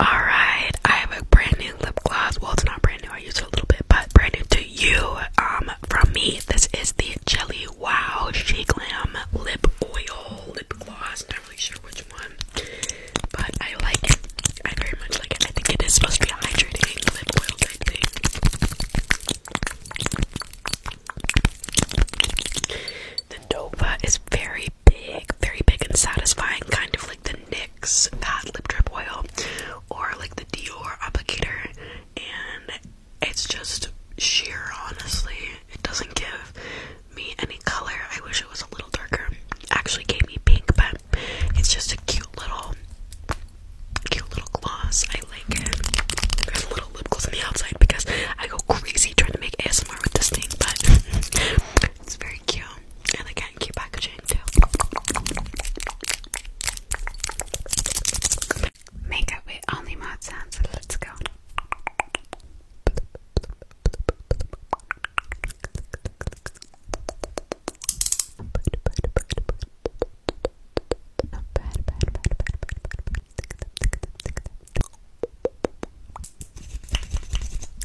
Alright, I have a brand new lip gloss. Well, it's not brand new, I used it a little bit, but brand new to you. Um, from me, this is the Jelly Wow She Glam Lip Oil Lip Gloss. Not really sure which one, but I like it. I very much like it. I think it is supposed to be hydrating lip oil type thing. The Nova is very big, very big and satisfying, kind of like the NYX uh, lip drip oil or like the Dior applicator, and it's just sheer, honestly. It doesn't give me any color. I wish it was a little darker. Actually gave me pink, but it's just a cute little cute little gloss. I like it. There's little lip gloss on the outside because I go crazy trying to make ASMR with this thing, but it's very cute and they get cute packaging too. Makeup with only mouth sounds. Let's go.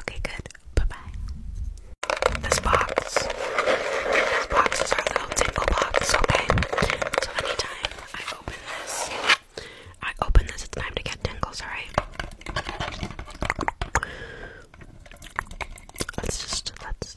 Okay, good. Bye-bye. This box. This box is our little tingle box, okay? So anytime I open this, I open this, it's time to get tingles, alright? Let's just let's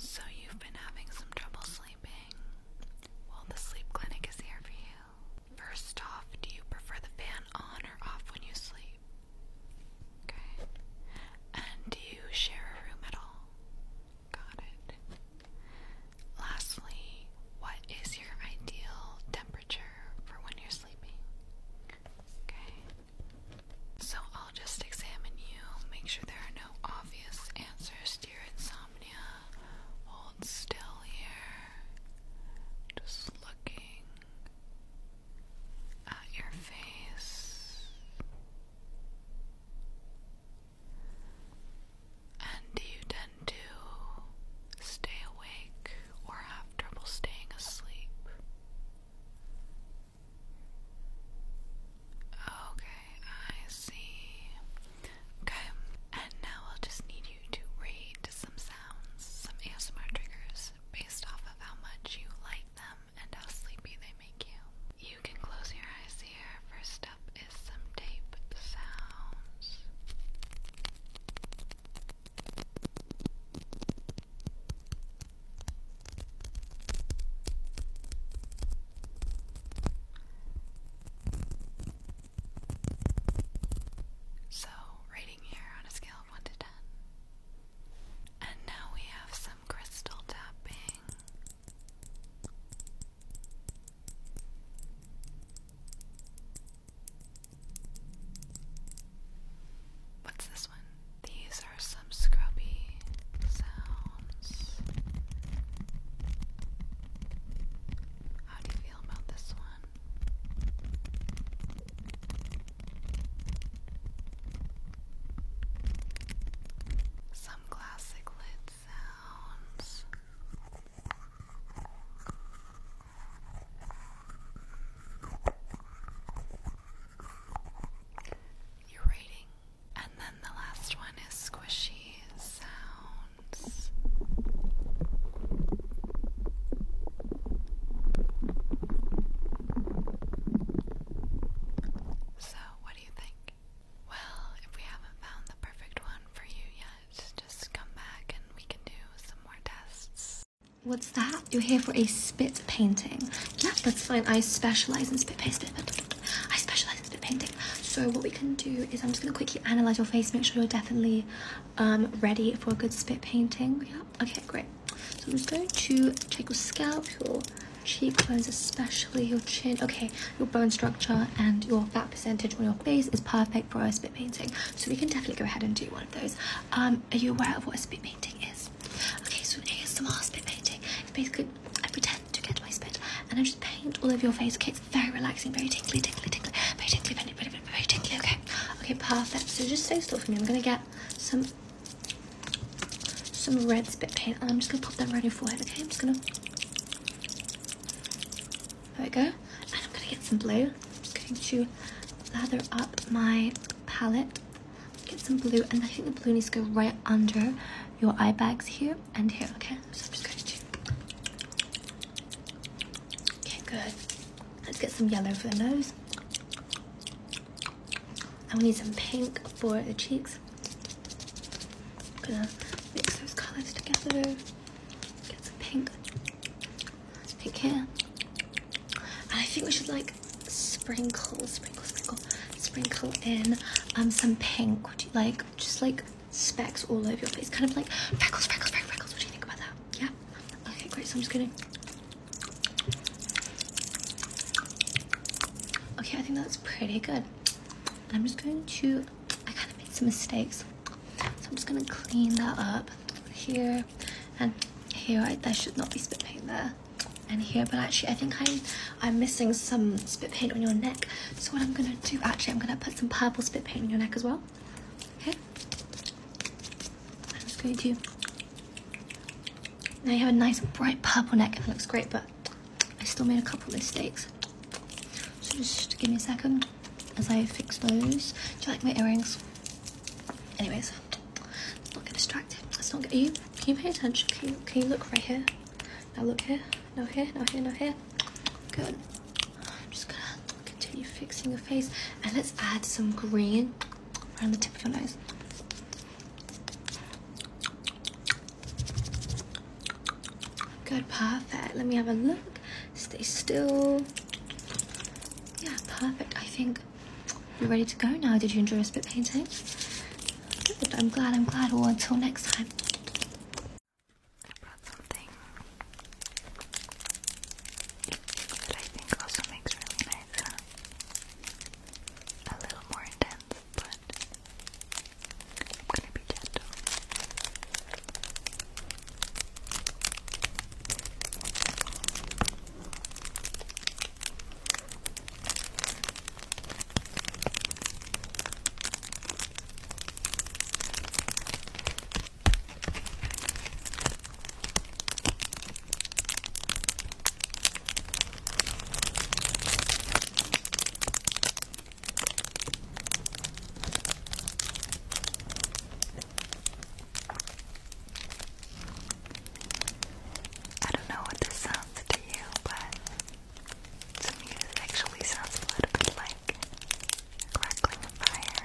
So, you've been having some trouble sleeping? Well, the sleep clinic is here for you. First off, do you prefer the fan on or off when you sleep? Okay. And do you share a room at all? Got it. Lastly, what is your ideal temperature for when you're sleeping? Okay. So I'll just examine you, make sure there are no obvious answers to your insomnia. Hold still here. Just looking at your face, and do you tend to stay awake or have trouble staying asleep? Okay, I see. Okay, and now I'll just need you to rate some sounds, some ASMR triggers based off of how much you like them and how sleepy they make you. You can close your eyes here. First up is some tape sounds. So, rating here on a scale of 1 to 10, and now we have some crystal tapping. What's this one? These are some scrubby sounds. How do you feel about this one? Some classic lid sounds. You're rating. And then the last one is squishy sounds. So, what do you think? Well, if we haven't found the perfect one for you yet, just come back and we can do some more tests. What's that? You're here for a spit painting. Yeah, that's fine. I specialize in spit painting. I specialize in spit painting. So what we can do is I'm just gonna quickly analyze your face, make sure you're definitely um, ready for a good spit painting. Yeah. Okay, great. So I'm just going to check your scalp, your cheekbones, especially your chin. Okay, your bone structure and your fat percentage on your face is perfect for a spit painting. So we can definitely go ahead and do one of those. Um, are you aware of what a spit painting is? Okay, so here's an ASMR spit painting It's basically I pretend to get my spit and I just paint all over your face. Okay, it's very relaxing, very tingly, tingly, tingly, very tingly, very, very, very, very tingly. Okay, Okay, perfect. So just stay still for me. I'm gonna get some some red spit paint and I'm just gonna pop that right in your forehead, okay? I'm just gonna There we go. And I'm gonna get some blue. I'm just going to lather up my palette. Get some blue and I think the blue needs to go right under your eye bags here and here, okay? So I'm just going to Okay, good. Let's get some yellow for the nose. And we need some pink for the cheeks. I'm gonna mix those colors together. Get some pink. Pink here. And I think we should like sprinkle, sprinkle, sprinkle, sprinkle in um some pink. like just like specks all over your face? Kind of like freckles, freckles, freckles, What do you think about that? Yeah? Okay, great. So I'm just kidding. Okay, I think that's pretty good. I'm just going to, I kind of made some mistakes. So I'm just gonna clean that up here and here, right? There should not be spit paint there and here, but actually I think I'm, I'm missing some spit paint on your neck. So what I'm gonna do, actually I'm gonna put some purple spit paint on your neck as well. Okay. I'm just going to. Now you have a nice bright purple neck it looks great, but I still made a couple mistakes. So just give me a second as I fix those. Do you like my earrings? Anyways, let's not get distracted. Let's not get you. Can you pay attention? Can you, can you look right here? Now look here. No here. No here. No here. Good. I'm just gonna continue fixing your face, and let's add some green. On the tip of your nose. Good, perfect. Let me have a look. Stay still. Yeah, perfect. I think you're ready to go now. Did you enjoy your spit painting? I'm glad, I'm glad. Well, until next time. I brought something that I think also makes really nice, huh? A little more intense, but I'm gonna be gentle. I don't know what this sounds to you, but to me it actually sounds a little bit like crackling fire.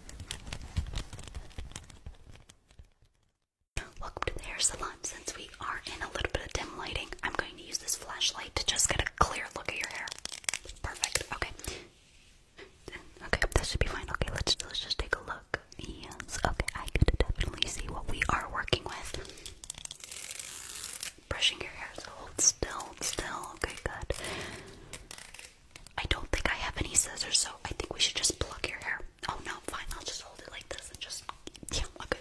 Welcome to the hair salon. Since we are in a little bit of dim lighting, I'm going to use this flashlight to just get a clear look at your hair. Perfect. Okay. Okay, that should be fine. Okay, let's let's just take a look. Yes. Okay, I could definitely see what we are working with. Brushing your hair. hold still, still. Okay, good. I don't think I have any scissors, so I think we should just pluck your hair. Oh no, fine, I'll just hold it like this and just yeah, okay.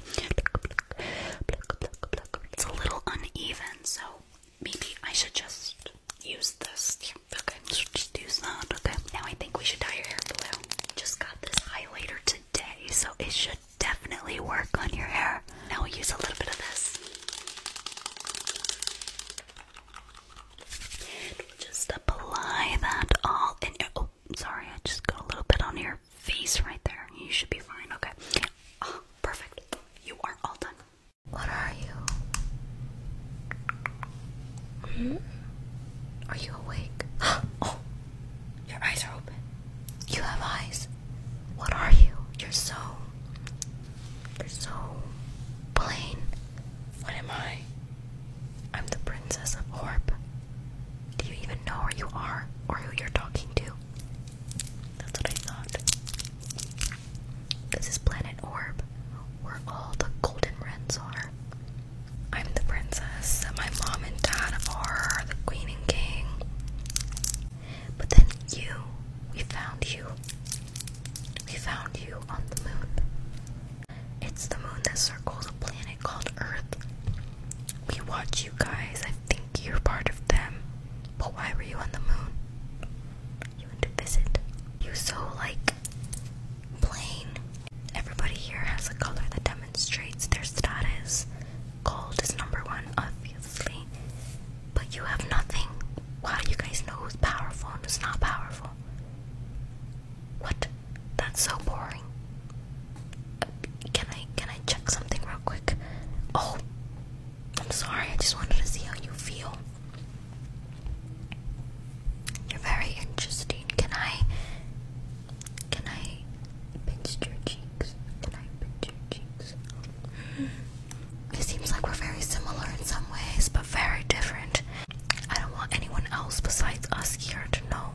It's a little uneven, so maybe I should just use this. Yeah, okay, just use that. Okay, now I think we should dye your hair blue. Just got this highlighter today, so it should definitely work on your hair. Now we'll use a little bit of this. And we just apply that all in your. Oh, sorry, I just got a little bit on your face right there. You should be fine. Okay. Oh, perfect. You are all done. What are you? Hmm? Are you awake? Oh, your eyes are open. You have eyes. What are you? You're so you're so plain. What am I? I'm the Princess of Orb. Do you even know where you are or who you're talking to? That's what I thought. This is Planet Orb, where all the golden wrens are. I'm the princess, and my mom and dad are the queen and king. But then you, we found you. We found you on the moon. It's the moon that circles a planet called Earth. We watch you guys. I think you're part of them. But why were you on the moon? You went to visit. You so like plain. Everybody here has a color that demonstrates their status. Gold is number one, obviously. But you have nothing. How do you guys know who's powerful and who's not powerful? What? That's so boring. Uh, can I can I check something real quick? Oh, I'm sorry. I just wanted to see how you feel. You're very interesting. Can I? Can I pinch your cheeks? Can I pinch your cheeks? It seems like we're very similar in some ways, but very different. I don't want anyone else besides us here to know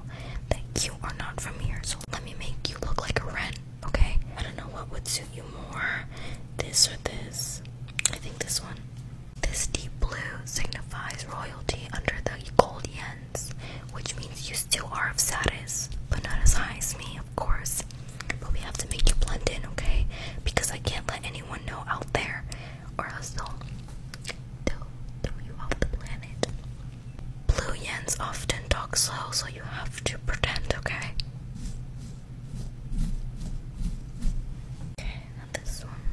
that you are not from here, so let me make you look like a wren, okay? I don't know what would suit you more, this or this. I think this one. This deep blue signifies royalty under the gold yens, which means you still are of status, but not as high as me, of course. But we have to make you blend in, okay? Because I can't let anyone know out there, or else will they throw you off the planet. Blue yens often talk slow, so you have to pretend, okay? Okay, now this one.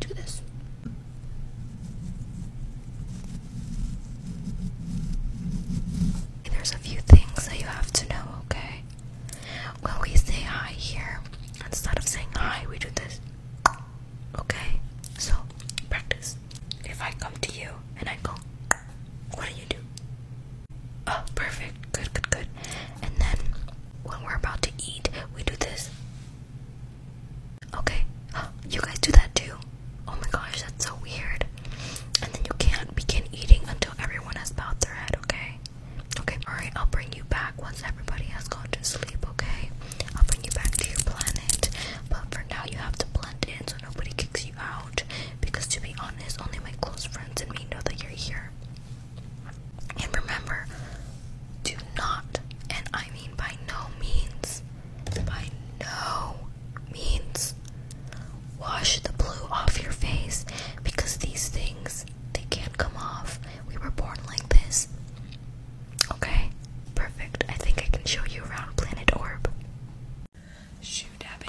Do this. There's a few things that you have to know, okay? When we say hi here, instead of saying hi, we do this. Okay? So, practice. If I come to you and I go, what do you do? Oh, perfect. Good, good, good. And then when we're about to eat, we do this. Okay? You guys do that too? Oh my gosh, that's so weird. And then you can't begin eating until everyone has bowed their head, okay? Okay, alright, I'll bring you back once everybody has gone to sleep, okay? I'll bring you back to your planet. But for now, you have to blend in so nobody kicks you out. Because to be honest, only my close friends and me know that you're here. And remember, do not, and I mean by no means, by no means wash the blue off your face because these things they can't come off. We were born like this. Okay, perfect. I think I can show you around Planet Orb. Shoe dabbing.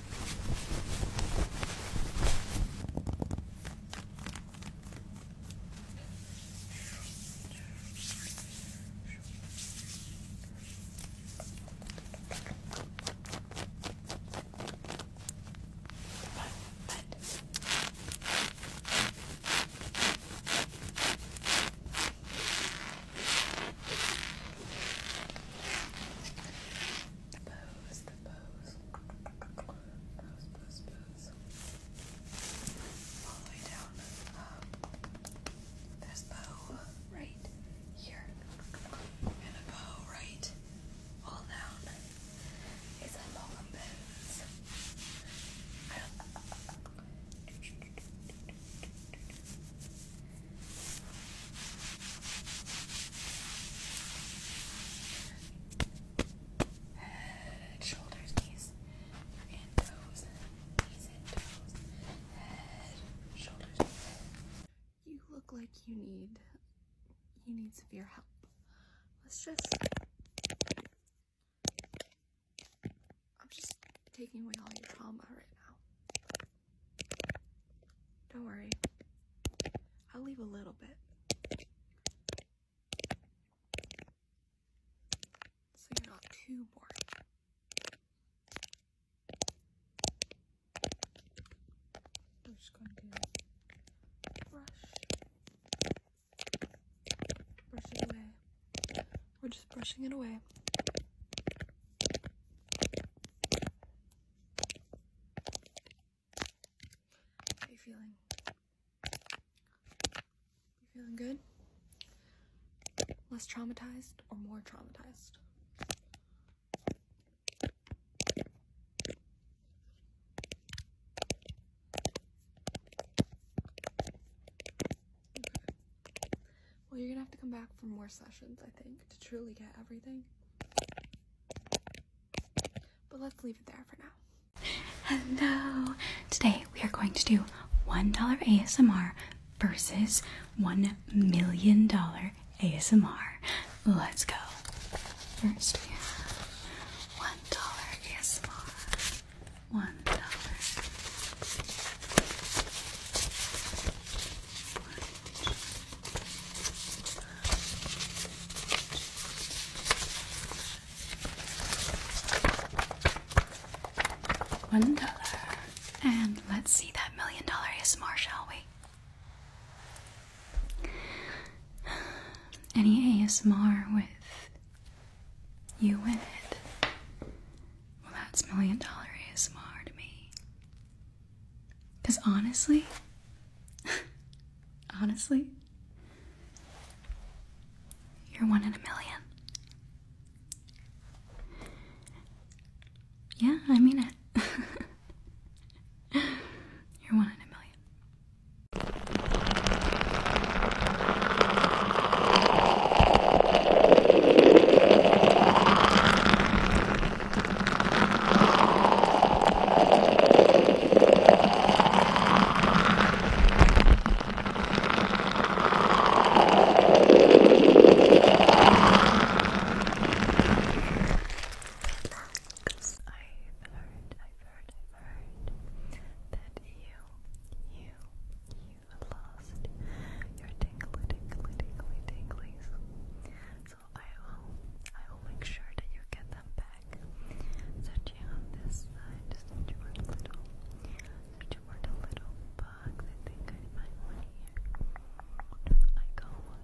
The pose, the pose. Pass, pass, All the way down. Um, there's bow right here. And a bow right all down. It's a long bends. Head, shoulders, knees, and toes. Knees and toes. Head, shoulders. You look like you need you need severe help. Let's just I'm just taking away all your trauma right now. Don't worry. I'll leave a little bit. So you're not too bored. I'm just going to brush, brush it away. We're just brushing it away are you feeling? You feeling good? Less traumatized or more traumatized? Well, you're gonna have to come back for more sessions, I think, to truly get everything. But let's leave it there for now. Hello! Today we are going to do $1 ASMR versus $1 million ASMR. Let's go. First we have $1 ASMR. $1. One dollar. And let's see that million dollar ASMR, shall we? Any ASMR with you win it. Well, that's million dollar ASMR to me. Because honestly, honestly, you're one in a million. Yeah, I mean it. you're one in a million. Relax. I've heard, I've heard, I've heard that you, you, you lost your tingly, tingly, tingly, tinglies so I will I will make sure that you get them back. Searching on this side, searching for the little searching for the little bug. I think I find one here. I got one.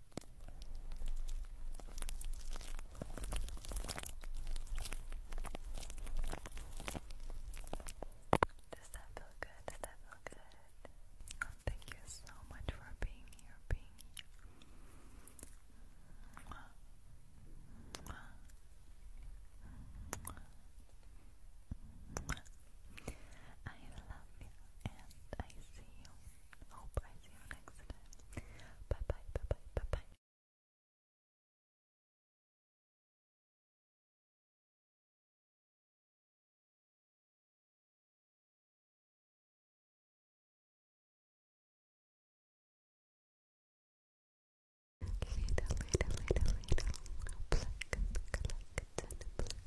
Does that feel good? Does that feel good? Oh, thank you so much for being here, being I love you and I see you. Hope I see you next time. Bye bye, bye bye, bye bye. Little, little, little, little. Pluck, pluck, pluck, pluck.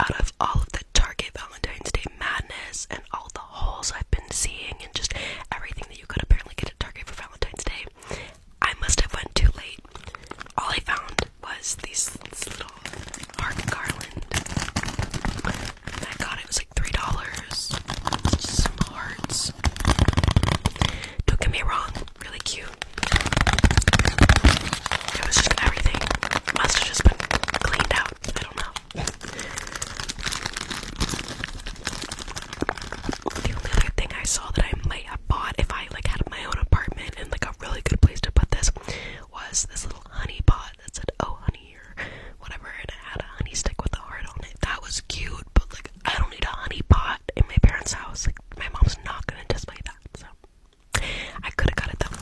Out of all of the Target Valentine's Day madness and all the holes I've been seeing and just everything that you could apparently get at Target for Valentine's Day, I must have went too late. All I found was these little. Art Garland. I got it, it was like three dollars. Just some hearts. Don't get me wrong, really cute. It was just everything. Must have just been cleaned out. I don't know. The only other thing I saw that I might have bought if I like had my own apartment and like a really good place to put this was this little honey pot that said "Oh honey" or whatever, and it had a honey stick with a heart on it. That was cute, but like I don't need a honey pot in my parents' house. Like my mom's not gonna display that, so I could have got it though.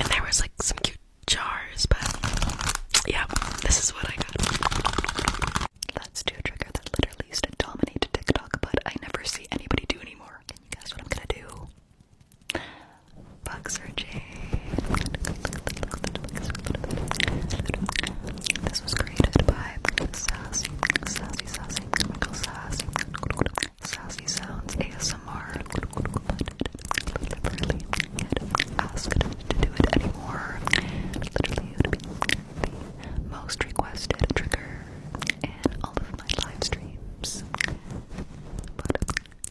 And there was like some cute jars, but yeah, this is what I got. Let's trigger that literally used to TikTok, but I never see anybody do anymore. Can you guess what I'm gonna do? Boxer Jade. This was created by Sassy, Sassy, Sassy, Sassy, Sassy Sounds ASMR. But to do it anymore. Literally, it would be the most requested trigger in all of my live streams. But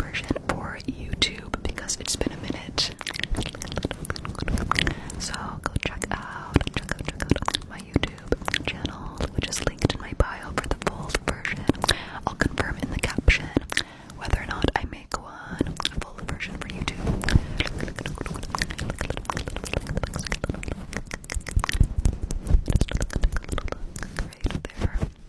version for YouTube because it's been a minute. So go check out, check out, check out my YouTube channel, which is linked in my bio for the full version. I'll confirm in the caption whether or not I make one full version for YouTube. Right there.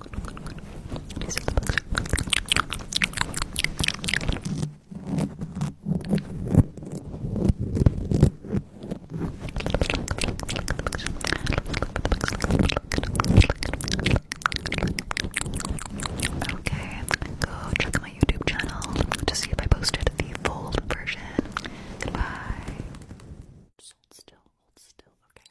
Okay, go check my YouTube channel to see if I posted the full version. Goodbye. hold still, hold still, okay.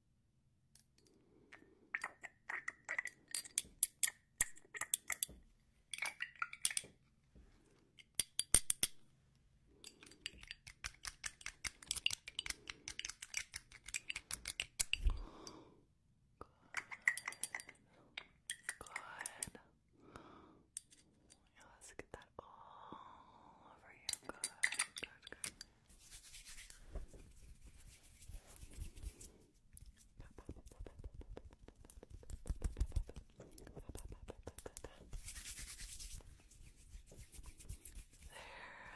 Good. Yes, get that all over you. Good, good, good. There,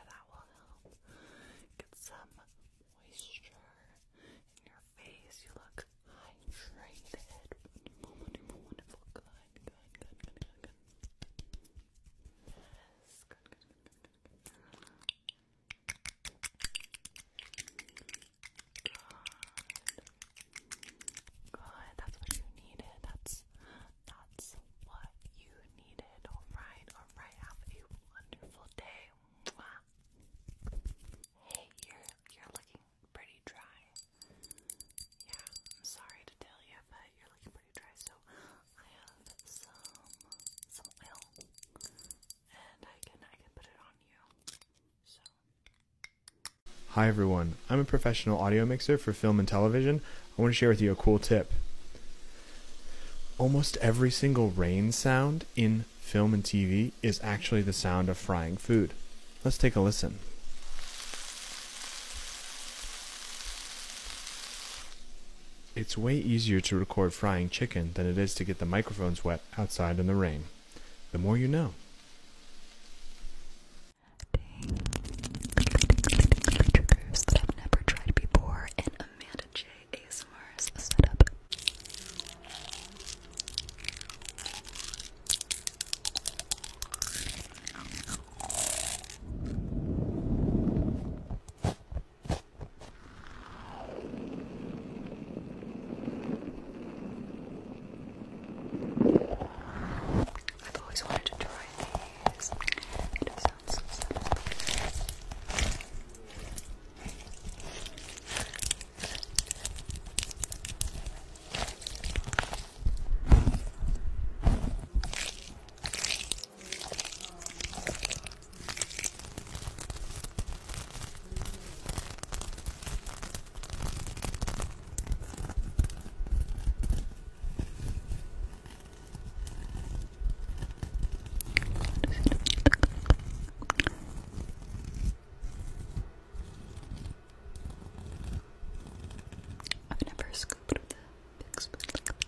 that will help get some moisture in your face. You look hydrated. Good. Good. That's what you needed. That's that's what you needed. Alright, alright. Have a wonderful day. Hey, you're you're looking pretty dry. Yeah, I'm sorry to tell you, but you're looking pretty dry, so Hi everyone, I'm a professional audio mixer for film and television. I want to share with you a cool tip. Almost every single rain sound in film and TV is actually the sound of frying food. Let's take a listen. It's way easier to record frying chicken than it is to get the microphones wet outside in the rain. The more you know. I've always wanted to try these. It sounds so simple. I've never scooped the big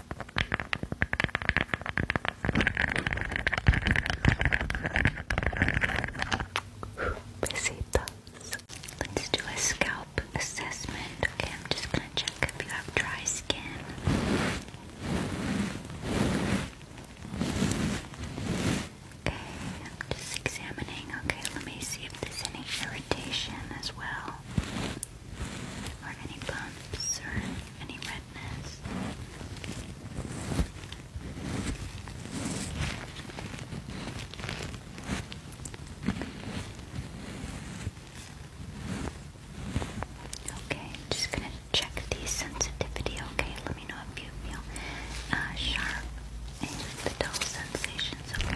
Besitos. Let's do a scalp assessment. Okay, I'm just gonna check if you have dry skin. Okay, I'm just examining. Okay, let me see if there's any irritation as well, or any bumps, or any redness. Okay, just gonna check the sensitivity. Okay, let me know if you uh, sharp and the dull sensations. Okay.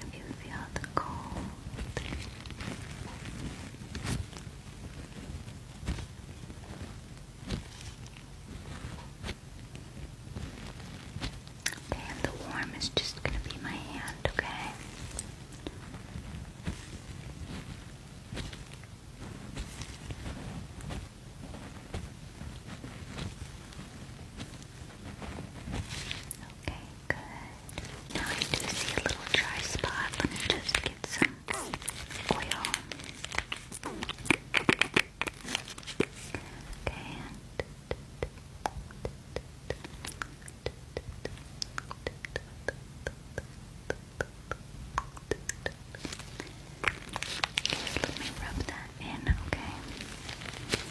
if you feel the cold. Okay, the warm is just going to be my hand, okay? Okay. Good. Now I do see a little dry spot. Let me just get some oil. Okay. let me rub that in, okay?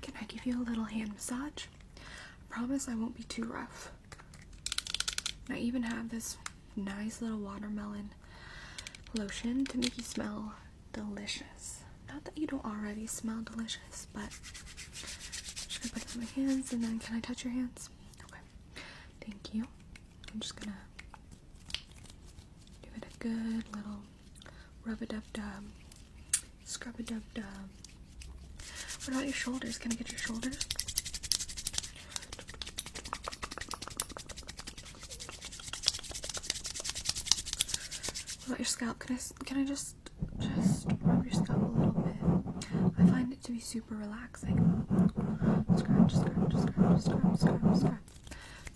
Can I give you a little hand massage? I promise I won't be too rough. I even have this nice little watermelon lotion to make you smell delicious. Not that you don't already smell delicious, but I'm just gonna put it on my hands and then can I touch your hands? Okay. Thank you. I'm just gonna give it a good little rub a dub dub, scrub a dub dub. What about your shoulders? Can I get your shoulders? What about your scalp? Can I can I just just just rub your scalp a little bit. I find it to be super relaxing. Scratch, scratch, scratch, scratch, scratch, scratch.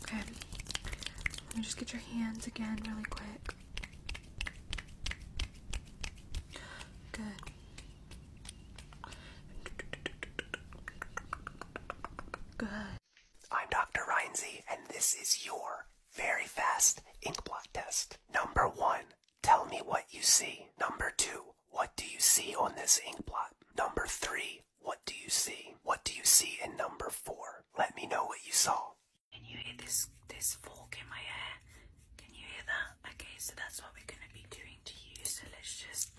Okay. Let me just get your hands again really quick. Good. Good. I'm Dr. Reinze, and this is your very fast ink blot test. Number one, tell me what you see. Number two, what do you see on this ink blot? Number three, what do you see? What do you see in number four? Let me know what you saw. Can you hear this, this fork in my hair? Can you hear that? Okay, so that's what we're going to be doing to you. So let's just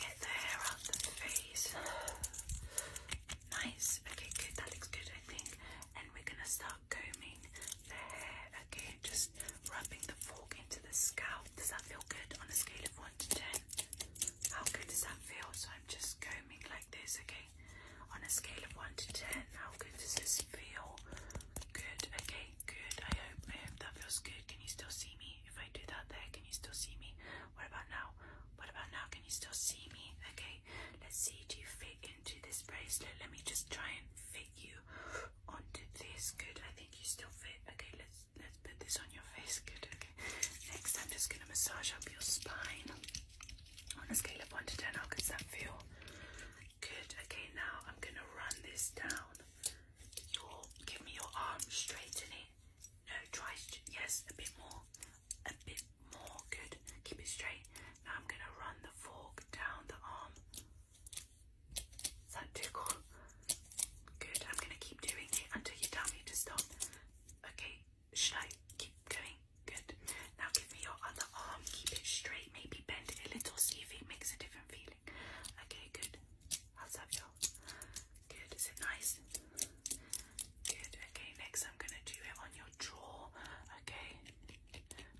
get the hair out of the face. Nice. Okay, good. That looks good, I think. And we're going to start combing the hair again, just rubbing the fork into the scalp. Does that feel good on a scale of 1 to 10? How good does that feel? So I'm just combing like this, okay? On a scale of 1 to 10, how good does this feel? Good, okay, good. I hope that feels good. Can you still see me? If I do that there, can you still see me? What about now? What about now? Can you still see me? Okay, let's see. Do you fit into this bracelet? Let me just try and fit you onto this. Good. I think you still fit. Okay, let's let's put this on your face. Good. Okay. Next, I'm just gonna massage up your spine on a scale of one to ten. How does that feel? Good. Okay. Now I'm gonna run this down. Your give me your arm. Straighten it. No, try. Yes, a bit more. A bit more. Good. Keep it straight. Now I'm going to run the fork down the arm. that too Good. I'm going to keep doing it until you tell me to stop. Okay. Should I keep going? Good. Now give me your other arm. Keep it straight. Maybe bend it a little. See if it makes a different feeling. Okay. Good. How's that feel? Good. Is it nice? Good. Okay. Next, I'm going to do it on your jaw. Okay.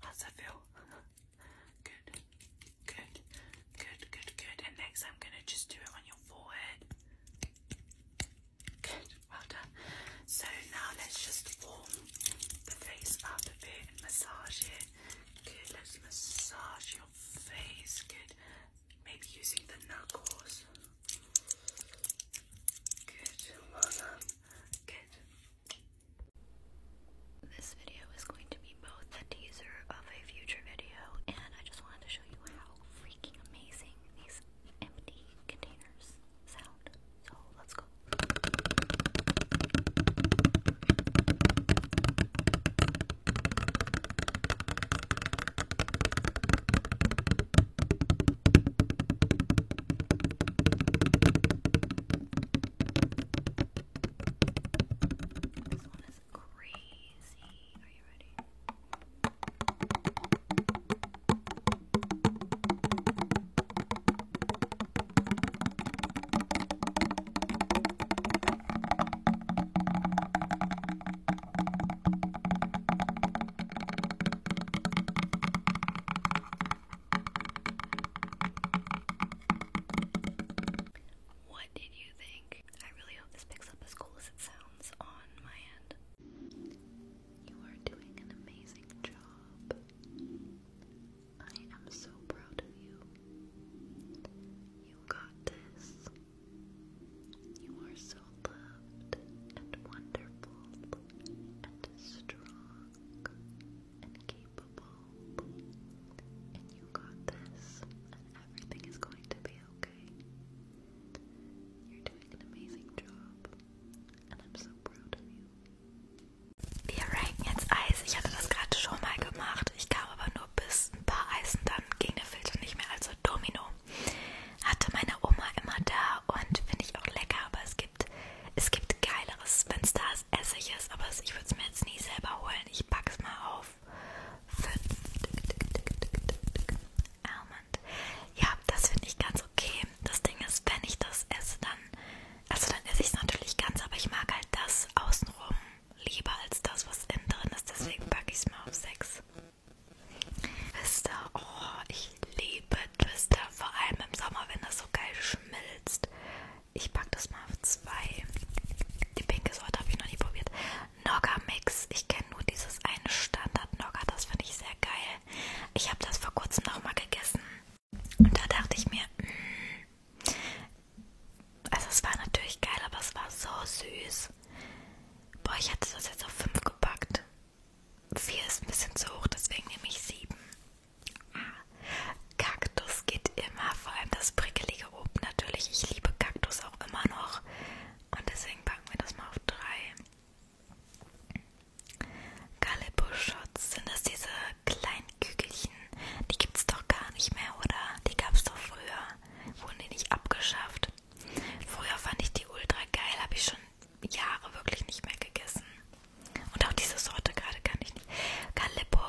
How's that feel? good, good, good, good, good. And next, I'm gonna just do it on your forehead. Good, well done. So now let's just warm the face up a bit and massage it. Good, let's massage your face. Good, maybe using the knuckles. Good, well done. Good, this video is going to be both a teaser of a future video, and I just wanted to show you how freaking amazing these empty containers sound. So let's go. This one is crazy. Are you ready? What did you think? I really hope this picks up as cool as it sounds on my end. You are doing an amazing job. I am so proud of you. You got this. You are so loved and wonderful and strong and capable, and you got this, and everything is going to be okay. You're doing an amazing job, and I'm so proud of you. Wir ranken jetzt Eis. Ich hatte das gerade schon mal gemacht. Ich kam aber nur bis ein paar Eisen, dann ging der Filter nicht mehr. Also Domino hatte meine Oma immer da und finde ich auch lecker, aber es geht gibt. Es gibt geileres, wenn es da ist, esse ich es, aber ich würde es mir jetzt nie selber holen. Ich packe es mal auf. Fünf. Almond. Ja, das finde ich ganz okay. Das Ding ist, wenn ich das esse, dann, also dann esse ich es natürlich ganz, aber ich mag halt das außenrum lieber als das, was innen drin ist. Deswegen packe ich es mal auf 6. Wisst ihr, oh, ich liebe Twister, vor allem im Sommer, wenn das so geil schmilzt. Ich packe das mal auf zwei. Die pinke Sorte habe ich noch nie probiert. Nogga Mix. Ich kenne nur dieses eine Standard Nogga. Das finde ich sehr geil. Ich habe das vor kurzem nochmal gegessen. Und da dachte ich mir, mh, mm, also es war natürlich geil, aber es war so süß. Boah, ich hätte das jetzt auf 5 gepackt. 4 ist ein bisschen zu hoch, deswegen nehme ich 7. Ah, Kaktus geht immer, vor allem das prickelige oben natürlich. Ich liebe Kaktus auch immer noch. Und deswegen packen wir das mal auf 3. Gallibus-Shots, sind das diese kleinen Kügelchen? Die gibt es doch gar nicht mehr, oder? Die gab es doch früher. Wurden die nicht abgeschafft? Früher fand ich die ultra geil, habe ich schon Jahre wirklich nicht mehr gegessen. Und auch diese Sorte gerade kann ich nicht. Calippo,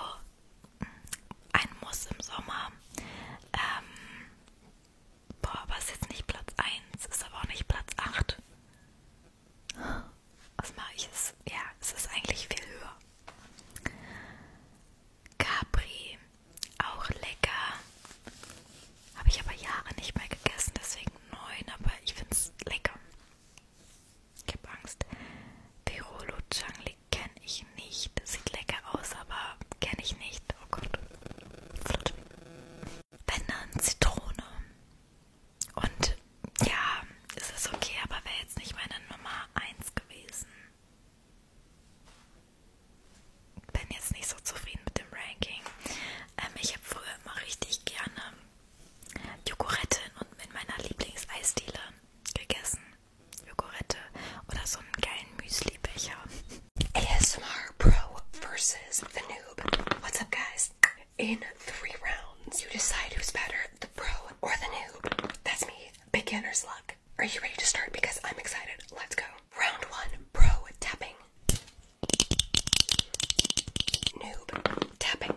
mm, ein Muss im Sommer. Ähm, boah, aber ist jetzt nicht Platz 1, ist aber auch nicht Platz 8. Was mache ich? Es, ja, es ist eigentlich viel höher. Capri, auch lecker. Habe ich aber Jahre nicht mehr gegessen, deswegen neun, aber ich finde es lecker. Ich hab Angst. Verolo Changli kenne ich nicht. Sieht lecker aus, aber kenne ich nicht. Oh Gott. Flutsch. Wenn dann Zitrone. Und ja, es ist okay, aber wäre jetzt nicht meine Nummer 1 gewesen. Bin jetzt nicht so zufrieden mit dem Ranking. Ähm, ich habe früher immer richtig gerne Joghurtten und mit meiner Lieblingseisdiele gegessen. Joghurtte oder so einen geilen Müslibecher. ASMR Pro versus the Noob. What's up, guys? In three rounds, you decide who's better, the pro or the noob. That's me, beginner's luck. Are you ready to start? Because I'm excited. Let's go. Round one, pro tapping. Noob tapping.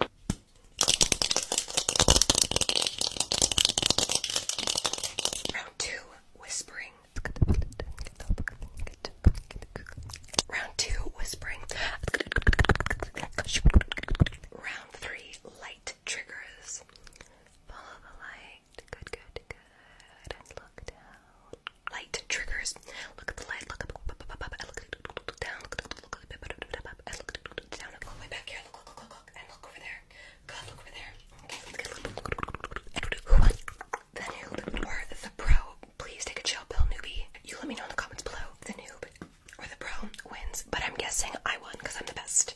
Round two, whispering. Round two, whispering. Round three, light triggers. Follow the light. Good, good, good. look down. Light triggers eyes. Look at the light. Look up. I look down. Look at look at I look down. Look all the way back here. Look, look, look, look, and look over there. Good. Look over there. Okay. Look at look. The noob or the pro. Please take a chill pill, newbie. You let me know in the comments below. The noob or the pro wins, but I'm guessing I won because I'm the best.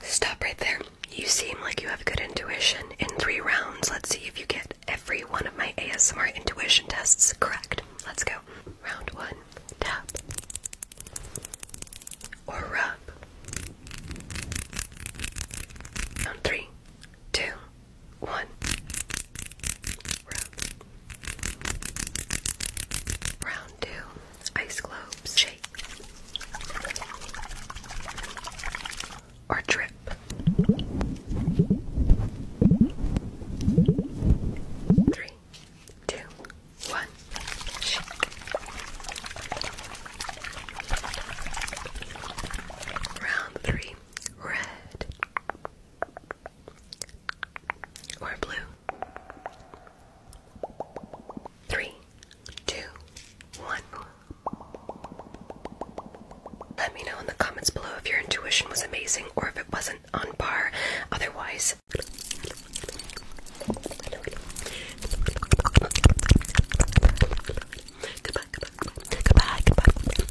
Stop right there. You seem like you have good intuition. In three rounds, let's see if you get every one of my ASMR intuition tests correct. Let's go. Round one tap or rub. Round three, two, one. Round. Round two. Ice globes. Shake. Or drip. Three, two, one. Shake. Round three. Red or blue? Three, two, one. Let me know in the comments below if your intuition was amazing or if it wasn't on par. Otherwise, goodbye, goodbye, goodbye, goodbye.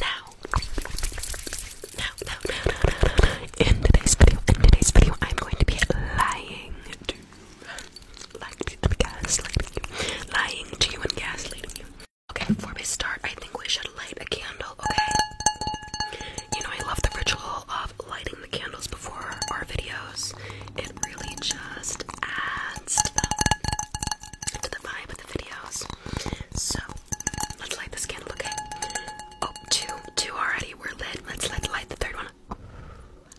Now, in today's video, in today's video, I'm going to be lying to you, lying to you, and gaslighting you. Okay, before we start, I think we should light a candle. Okay. You know, I love the ritual of lighting the candles before our videos. It really just adds to the vibe of the videos. So let's light this candle, okay? Oh, two, two already. We're lit. Let's light, light the third one.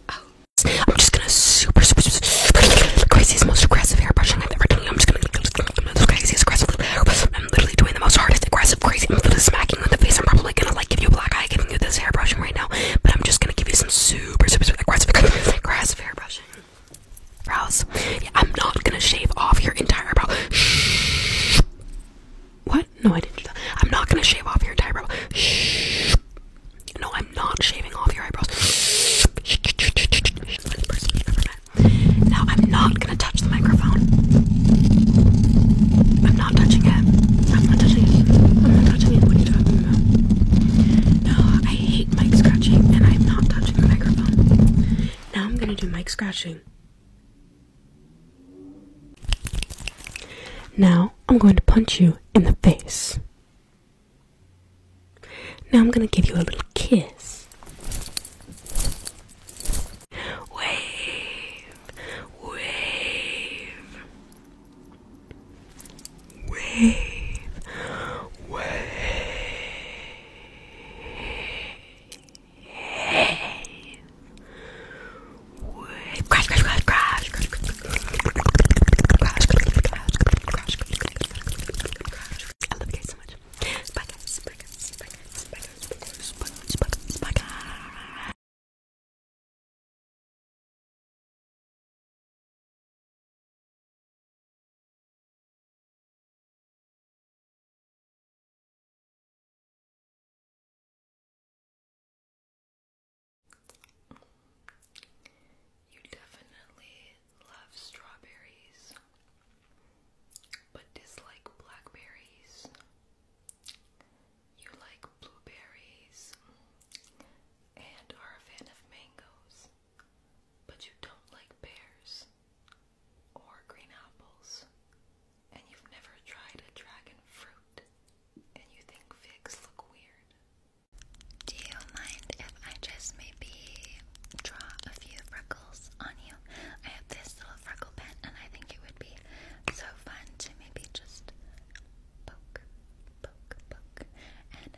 Oh, I'm just gonna super, super, super, super craziest, most aggressive hair brushing I've ever done. I'm just gonna the craziest, aggressive. I'm literally doing the most hardest, aggressive, crazy. I'm literally smacking you in the face. I'm probably gonna like give you a black eye, giving you this hair brushing right now. But I'm just gonna give you some super, super, super aggressive, aggressive hair brushing brows. Yeah, I'm not gonna shave off your entire brow. Shh. What? No, I didn't do that. I'm not gonna shave off your entire brow. Shh. No, I'm not shaving off your eyebrows. Shh. Shh. Funniest person you've ever met. Now I'm not gonna touch the microphone. I'm not touching it. I'm not touching it. I'm not touching it. What are you talking about? No, I hate mic scratching, and I'm not touching the microphone. Now I'm gonna do mic scratching. Now I'm going to punch you in the face. Now I'm gonna give you a little kiss. Wave, wave, wave, wave. Crash, crash, crash, crash, crash, crash, crash, I love you guys so much. Bye guys, bye guys, bye guys, bye guys, bye guys, bye guys, bye guys. You definitely love strawberries, but dislike blackberries. You like blueberries and are a fan of mangoes but you don't like pears or green apples, and you've never tried a dragon fruit, and you think figs look weird. Do you mind if I just maybe draw a few freckles on you? I have this little freckle pen, and I think it would be so fun to maybe just poke, poke, poke, and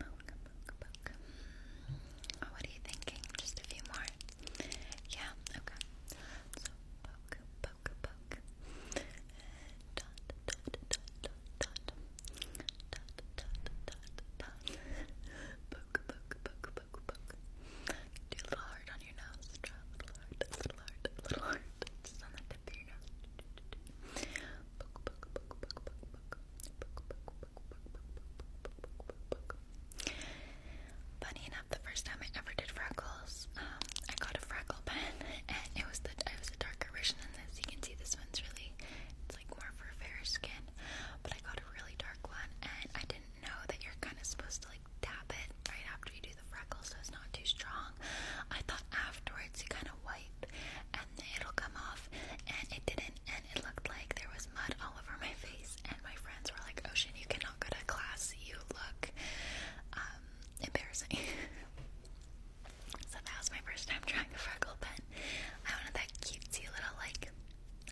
Poke, poke, poke. Oh, what are you thinking? Just a few more? Yeah, okay. So, poke, poke, poke. Dot, dot, dot, dot, dot. Dot, dot, dot, dot. Poke, poke, poke, poke, poke. Do a little heart on your nose. Draw a little heart, a little heart, a little heart. Just on the tip of your nose. Poke, poke, poke, poke, poke. Funny enough, the first time I ever did freckles, um, I got a freckle pen, and it was the it was a darker version than this. You can see this one's really, it's like more for fair skin, but I got a really dark one, and I didn't know that you're kind of supposed to like dab it right after you do the freckles, so it's not too strong. I thought afterwards you kind of wipe, and it'll come off. And it didn't, and it looked like there was mud all over my face. And my friends were like, Ocean, oh, you cannot go to class. You look um, embarrassing. so that was my first time trying a freckle pen. I wanted that cutesy little, like,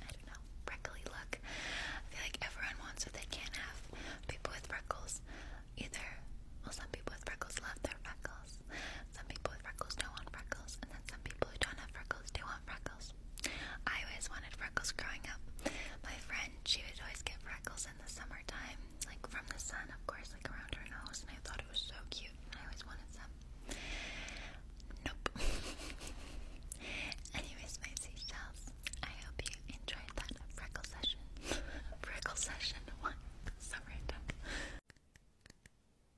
I don't know, freckly look. I feel like everyone wants what they can't have. People with freckles either, well, some people with freckles love their freckles. Some people with freckles don't want freckles, and then some people who don't have freckles do want freckles. I always wanted freckles growing up. My friend, she would always get freckles in the summertime, like from the sun, of course, like around her nose, and I thought it was so cute, and I always wanted some. Nope. Anyways, my seashells, I hope you enjoyed that freckle session. freckle session, what? So random.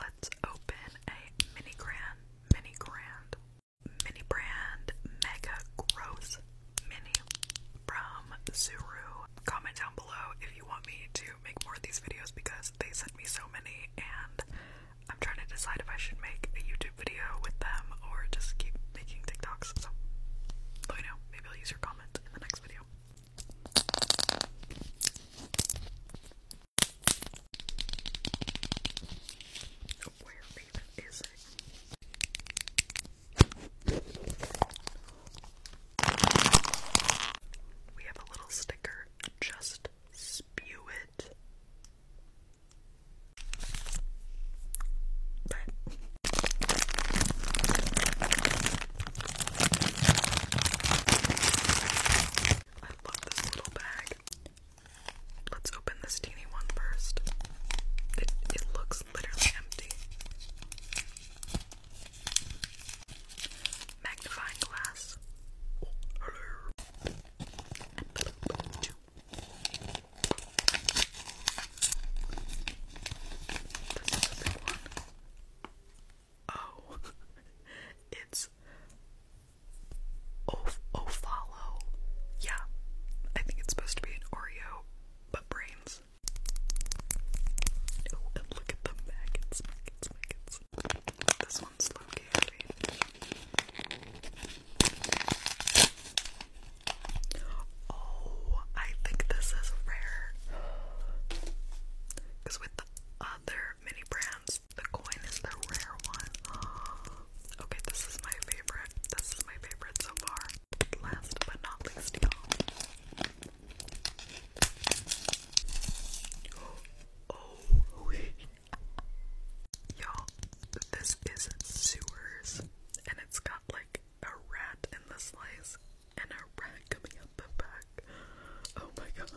Let's open a mini grand, mini grand, mini brand mega gross mini from Zuru comment down below if you want me to make more of these videos because they sent me so many and I'm trying to decide if I should make a YouTube video with them or just keep making TikToks. So let me know. Maybe I'll use your comment in the next video. Oh, where even is it? We have a little sticker, just spew it. I love this little bag. Let's open this teeny one first. It, it looks literally empty. Magnifying glass. Oh, it's Of Ofalo. Yeah, I think it's supposed to be an Oreo, but brains. Oh, look at the maggots, maggots, maggots. This one's low key Oh, I think this is rare. Because with other mini brands, the coin is the rare one. okay, this is my favorite. This is my favorite so far. Last but not least, Oh, y'all, this is sewers, and it's got like a rat in the slice and a rat coming out the back. Oh my gosh,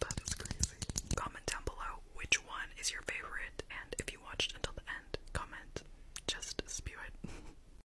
that is crazy. Comment down below which one is your favorite, and if you watched until the end, comment. Just spew it.